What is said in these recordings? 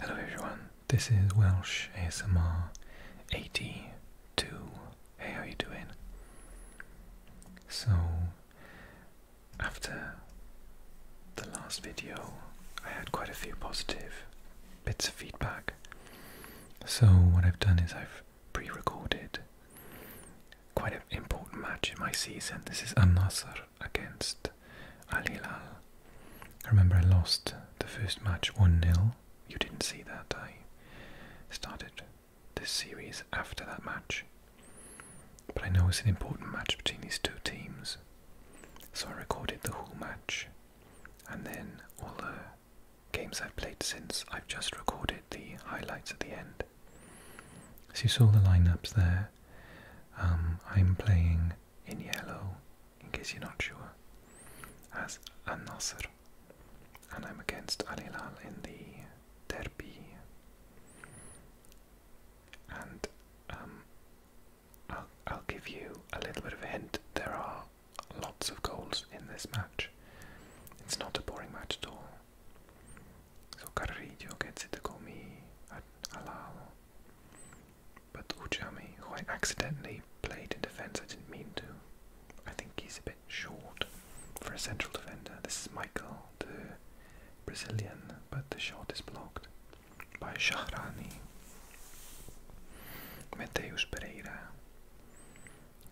Hello everyone, this is Welsh ASMR 82. Hey, how are you doing? So, after the last video, I had quite a few positive bits of feedback. So, what I've done is I've pre recorded quite an important match in my season. This is Al Nassr against Al Hilal. I remember I lost the first match 1 0. You didn't see that. I started the series after that match. But I know it's an important match between these two teams. So I recorded the whole match and then all the games I've played since, I've just recorded the highlights at the end. So you saw the lineups there. Um, I'm playing in yellow, in case you're not sure, as Al and I'm against Alilal in the Derby. And um, I'll, give you a little bit of a hint. There are lots of goals in this match. It's not a boring match at all. So Carrillo gets it to go me at Alao. But Ujami, who I accidentally played in defence, I didn't mean to. I think he's a bit short for a central defender. This is Michael, the Brazilian, but the shot is blocked by Shahrani. Mateus Pereira.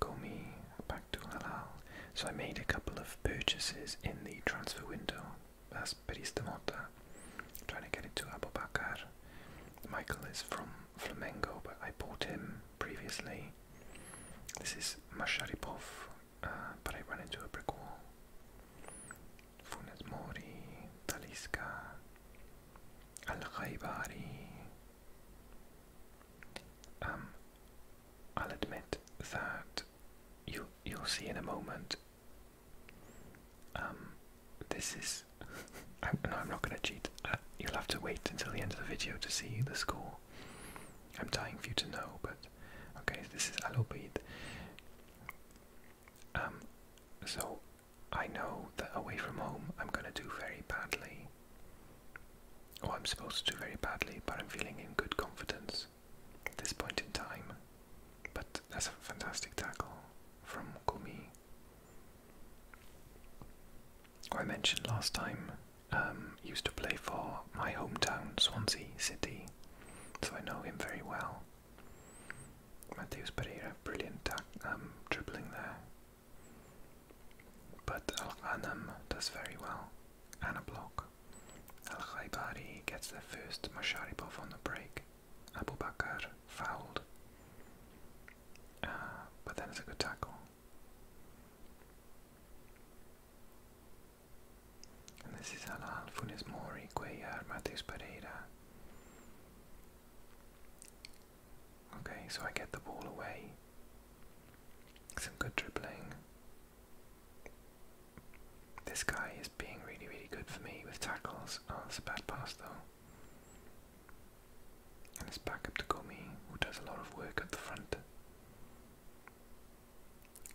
Gomi back to Halal. So I made a couple of purchases in the transfer window as Peristemota, trying to get it Abubakar. Michael is from Flamengo, but I bought him previously. This is Masharipov, uh, but I ran into a brick wall. Funes Mori, Taliska, Al Ghaibari. Um, I'll admit that you, you'll see in a moment um, this is. I, no, I'm not going to cheat. Uh, you'll have to wait until the end of the video to see the score. I'm dying for you to know, but okay, this is Alobid. Um, so I know that away from home I'm going to do very badly. Or I'm supposed to do very badly, but I'm feeling in good confidence at this point in time. But that's a fantastic tackle from Kumi. who I mentioned last time, um, used to play for my hometown, Swansea City, so I know him very well. Mateus Pereira, brilliant um, dribbling there. But Al Anam does very well, and a block. Al Khaybari gets the first Masharipov on the break. Abu Bakr fouled. Uh, but then it's a good tackle. And this is Al Funes Mori, Cuellar, Mateus Pereira. Okay, so I get the ball away. Some good dribbling. This guy is being really, really good for me with tackles. Oh, that's a bad pass though. And it's back up to Gomi, who does a lot of work at the front.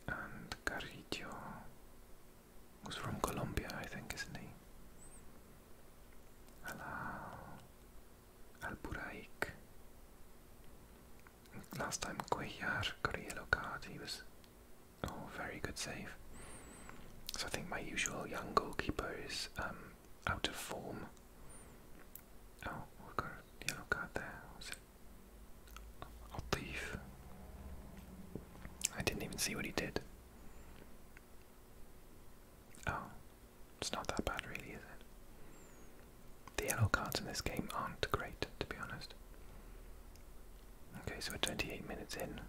And Garrido, who's from Colombia, I think, isn't he? Alao, Last time Cuellar got a yellow card, he was Oh, very good save. So I think my usual young goalkeeper is um, out of form. Oh, we've got a yellow card there. Was it? I'll I didn't even see what he did. Oh, it's not that bad, really, is it? The yellow cards in this game aren't great, to be honest. Okay, so we're 28 minutes in.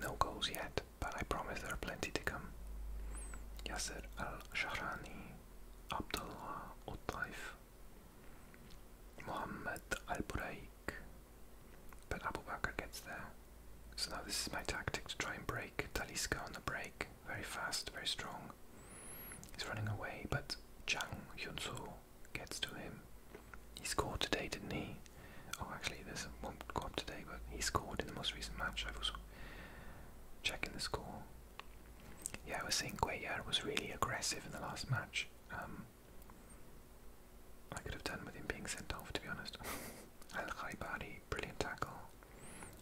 No goals yet, but I promise there are plenty to come. Yasser Al Shahrani, Abdullah Utaif, Muhammad Al Buraik. But Abu Bakr gets there. So now this is my tactic to try and break Taliska on the break. Very fast, very strong. He's running away, but Chang Hyunsu gets to him. He scored today, didn't he? Oh, actually, there's one go up today, but he scored in the most recent match. I was checking the score. Yeah, I was saying Cuellar was really aggressive in the last match. Um, I could have done with him being sent off, to be honest. Al Khaibari, brilliant tackle.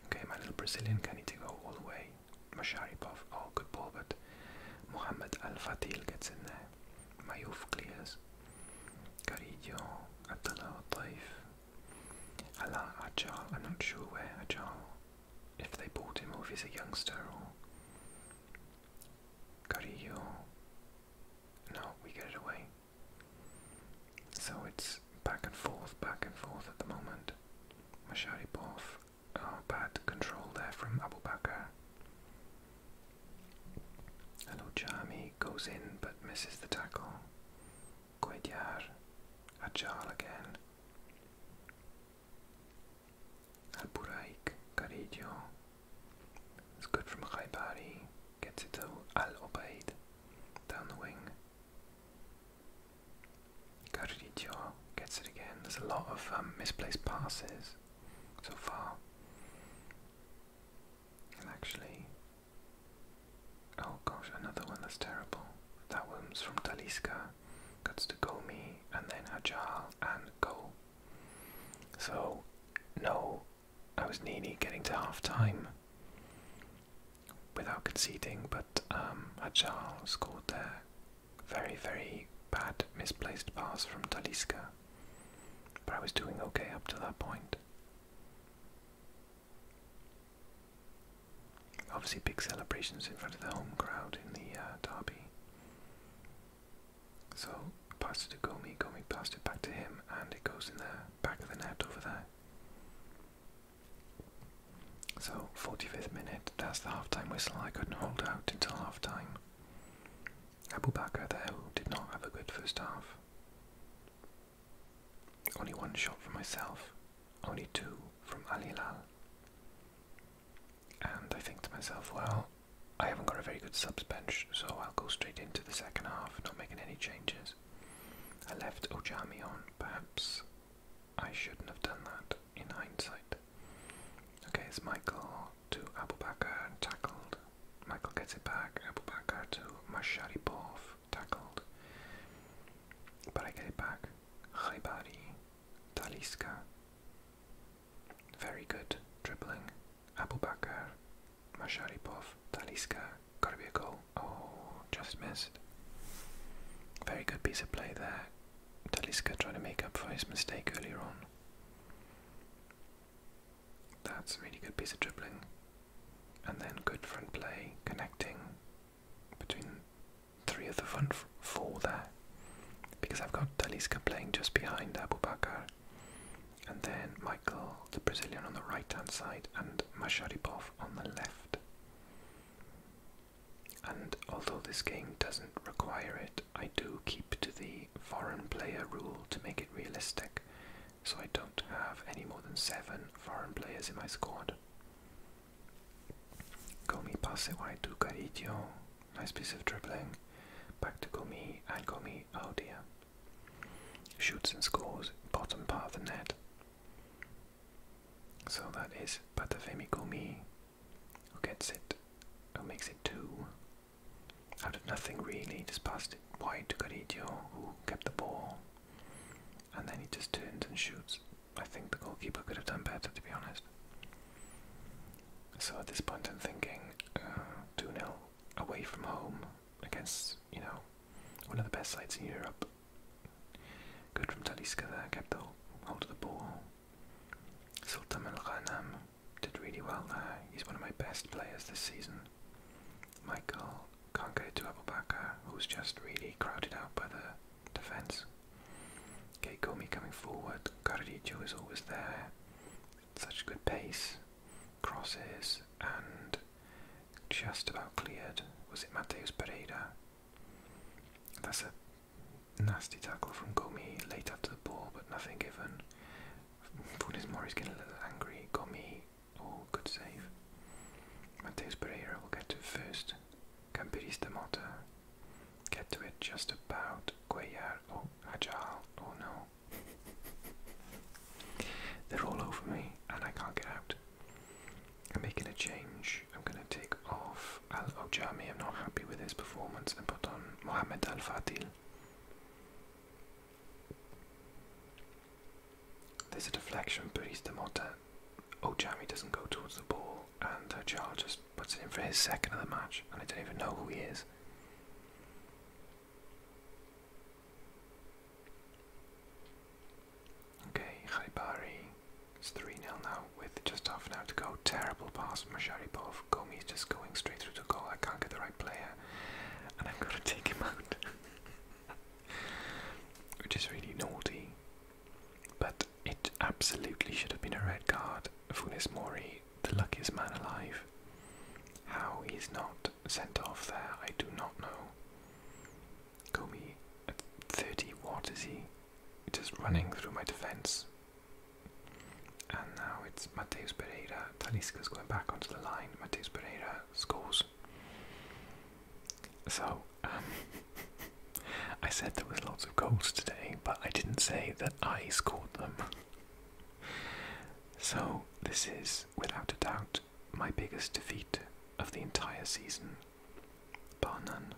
Okay, my little Brazilian can need to go all the way. Masharipov, oh, good ball, but Mohamed Al Fatil gets in there. My مايوفقلياس Carillo, Abdullah Taif, Ala Ajal, I'm not sure where I'm Ajal, if they bought him or if he's a youngster or Carillo. No, we get it away. So it's back and forth, back and forth at the moment. My Masharipov, Oh, bad control there from Abu Bakr. Hello, Jami goes in but misses the tackle. Guedyar, Ajal again. Al Buraik, Carillo. It's good from Khaybari. Gets it to Al Obaid. Down the wing. Carillo gets it again. There's a lot of um, misplaced passes so far. And actually, oh gosh, another one that's terrible. That one's from Taliska, cuts to Gomi, and then Ajal and Go. So, no, I was nearly getting to half time without conceding, but um, Ajal scored their very, very bad misplaced pass from Taliska. But I was doing okay up to that point. Obviously, big celebrations in front of the home crowd in the uh, derby. So, pass it to Gomi, Gomi passed it back to him, and it goes in the back of the net over there. So, 45th minute, that's the half time whistle. I couldn't hold out until half time. Abubakar, Bakr, though, did not have a good first half. Only one shot for myself, only two from Ali Lal. And I think to myself, well, I haven't got a very good subs bench, so I'll go straight into the second half, not making any changes. I left Ojami on, perhaps I shouldn't have done that in hindsight. Okay, it's Michael to Abu Bakr, tackled. Michael gets it back. Abu Bakr to Masharipov, tackled. But I get it back. Khaybari, Taliska. Very good dribbling. Abu Bakr, be a goal. Oh, just missed. Very good piece of play there. Taliska trying to make up for his mistake earlier on. That's a really good piece of dribbling. And then good front play, connecting between three of the front four there. Because I've got Talisca playing just behind Abubakar, And then Michael, the Brazilian, on the right hand side, and Masharipov on the left. And although this game doesn't require it, I do keep to the foreign player rule to make it realistic, so I don't have any more than seven foreign players in my squad. Gomi pass wide to Carillo. Nice piece of dribbling. Back to Gomi and Gomi. Oh dear. Shoots and scores. Bottom part of the net. So that is Patafemi Gomi who gets it? Who makes it two? Out of nothing really, just passed it wide to Garidio, who kept the ball. And then he just turns and shoots. I think the goalkeeper could have done better, to be honest. So at this point, I'm thinking uh, 2 nil away from home against, you know, one of the best sides in Europe. Good from Taliska there, kept the hold of the ball. Sultan Al Ghanam did really well there. He's one of my best players this season. Michael can't get it to Abu who's just really crowded out by the defence. Keikomi coming forward, Carrillo is always there. Such good pace, crosses, and just about cleared. Was it Mateus Pereira? That's it. Nasty tackle from Gomi late after the ball, but nothing given. Funes Mori's getting a little angry. Gomi, oh, good save. Mateus Pereira will get to it first. Campirista Mota get to it just about. Cuellar, oh, Ajal, oh no. They're all over me and I can't get out. I'm making a change. I'm going to take off Al Ojami. I'm not happy with his performance and put on Mohamed Al Fadil. There's a deflection, but he's the Mota. Ojami doesn't go towards the ball, and uh, Charles just puts it in for his second of the match, and I don't even know who he is. Okay, Haibari. It's 3 0 now with just half an hour to go. Terrible pass from Masharipov. Gomi is just going straight through to goal. I can't get the right player. And i am going to take him out. Which is really naughty. But it absolutely should have been a red card. Funes Mori, the luckiest man alive. How he's not sent off there, I do not know. Gomi, 30, what is he? Just running through my defence. And now it's Mateus Pereira. Talisca's going back onto the line. Mateus Pereira scores. So, um, I said there was lots of goals today, but I didn't say that I scored them. so, this is, without a doubt, my biggest defeat of the entire season, bar none.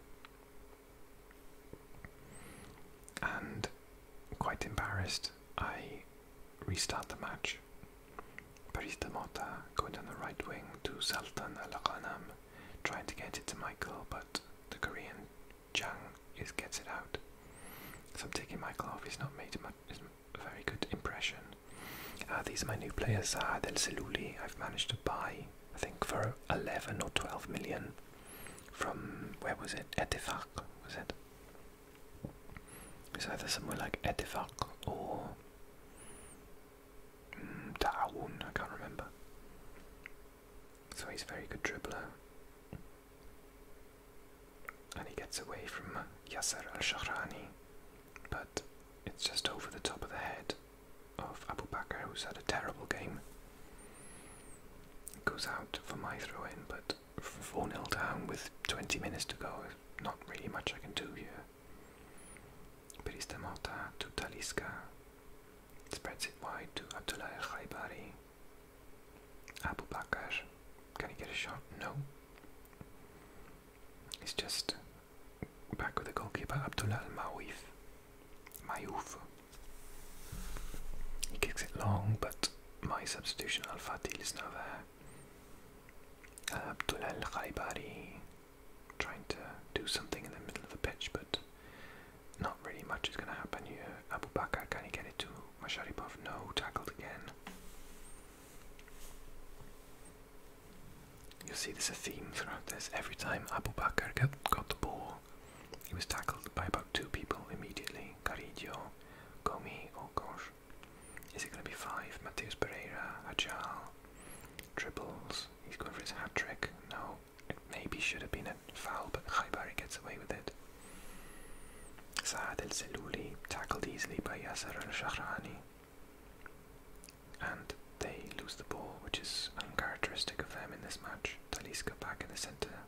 And quite embarrassed, I restart the match. Barista Mota going down the right wing to Sultan Al Ghanam, trying to get it to Michael, but the Korean Chang is gets it out. So I'm taking Michael off. He's not made much, a very good impression. Ah, these are my new players, Saad ah, El Seluli. I've managed to buy, I think, for 11 or 12 million from where was it? Etifak was it? It's either somewhere like Etifak or mm, Ta'awun, I can't remember. So he's a very good dribbler. And he gets away from Yasser al Shahrani, but it's just over the top of the head of Abu Bakr, who's had a terrible game. It goes out for my throw in, but 4 0 down with 20 minutes to go, not really much I can do here. Perista Morta to Taliska spreads it wide to Abdullah El Khaibari. Abu Bakr, can he get a shot? No. He's just back with the goalkeeper Abdullah Al Mawif my hoof. He kicks it long, but my substitution Al Fatil is now there. Abdullah Al Khaibari trying to do something in the middle of the pitch, but not really much is going to happen here. Abu Bakr, can he get it to Masharipov? No, tackled again. You'll see there's a theme throughout this. Every time Abu Bakr got, got the ball, he was tackled by about two people immediately Carillo, Gomi, oh gosh. Is it going to be five? Mateus Pereira, Ajal, triples. He's going for his hat trick. No, maybe should have been a foul, but Khaibari gets away with it. Saad El Zeluli tackled easily by Yasser Al Shahrani. And they lose the ball, which is uncharacteristic of them in this match large back in the centre.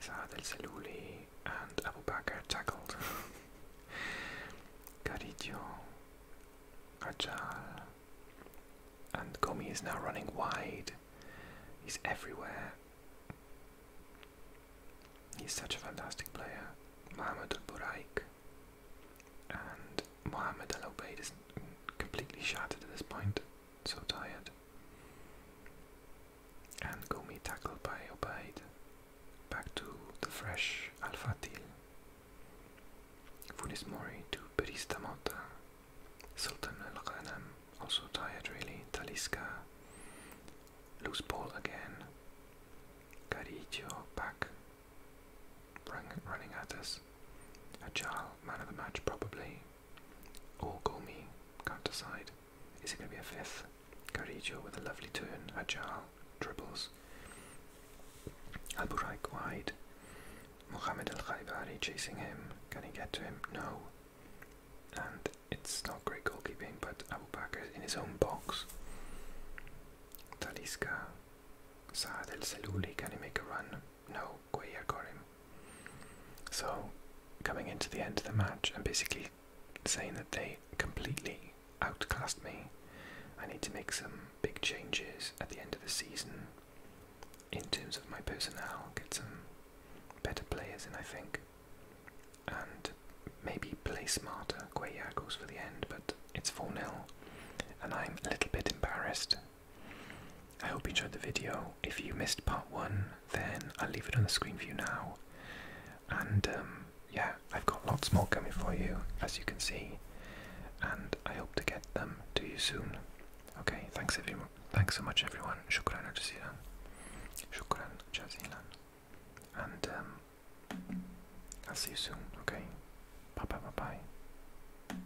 Saad El and Abu Bakr tackled. Caridio, Rajal, and Gomi is now running wide. He's everywhere. He's such a fantastic player. Mohamed Al Buraik and Mohamed Al Obeid is completely shattered at this point so tired. And Gumi tackled by Obaid back to the fresh Al-Fatil. Funes Mori to Perista Mota. Sultan Al-Ghanam also tired really. Taliska. Loose ball again. Carillo back. Running at us. Ajal, man of the match probably. Or Gomi, can't decide. Is it going to be a fifth? Carrillo with a lovely turn, agile, dribbles. Alburaik wide. Mohamed Al Khaibari chasing him. Can he get to him? No. And it's not great goalkeeping, but Abu Bakr in his own box. Talisca. Saad El Seluli, can he make a run? No. Guaya So, coming into the end of the match and basically saying that they completely outclassed me, I need to make some big changes at the end of the season in terms of my personnel, get some better players in, I think, and maybe play smarter. Guaya goes for the end, but it's 4 0, and I'm a little bit embarrassed I hope you enjoyed the video. If you missed part one, then I'll leave it on the screen for you now. And um, yeah, I've got lots more coming for you, as you can see, and I hope to get them to you soon. Okay, thanks everyone. Thanks so much, everyone. Shukran jazilan. Shukran jazilan. And um, I'll see you soon. Okay. Bye bye bye bye.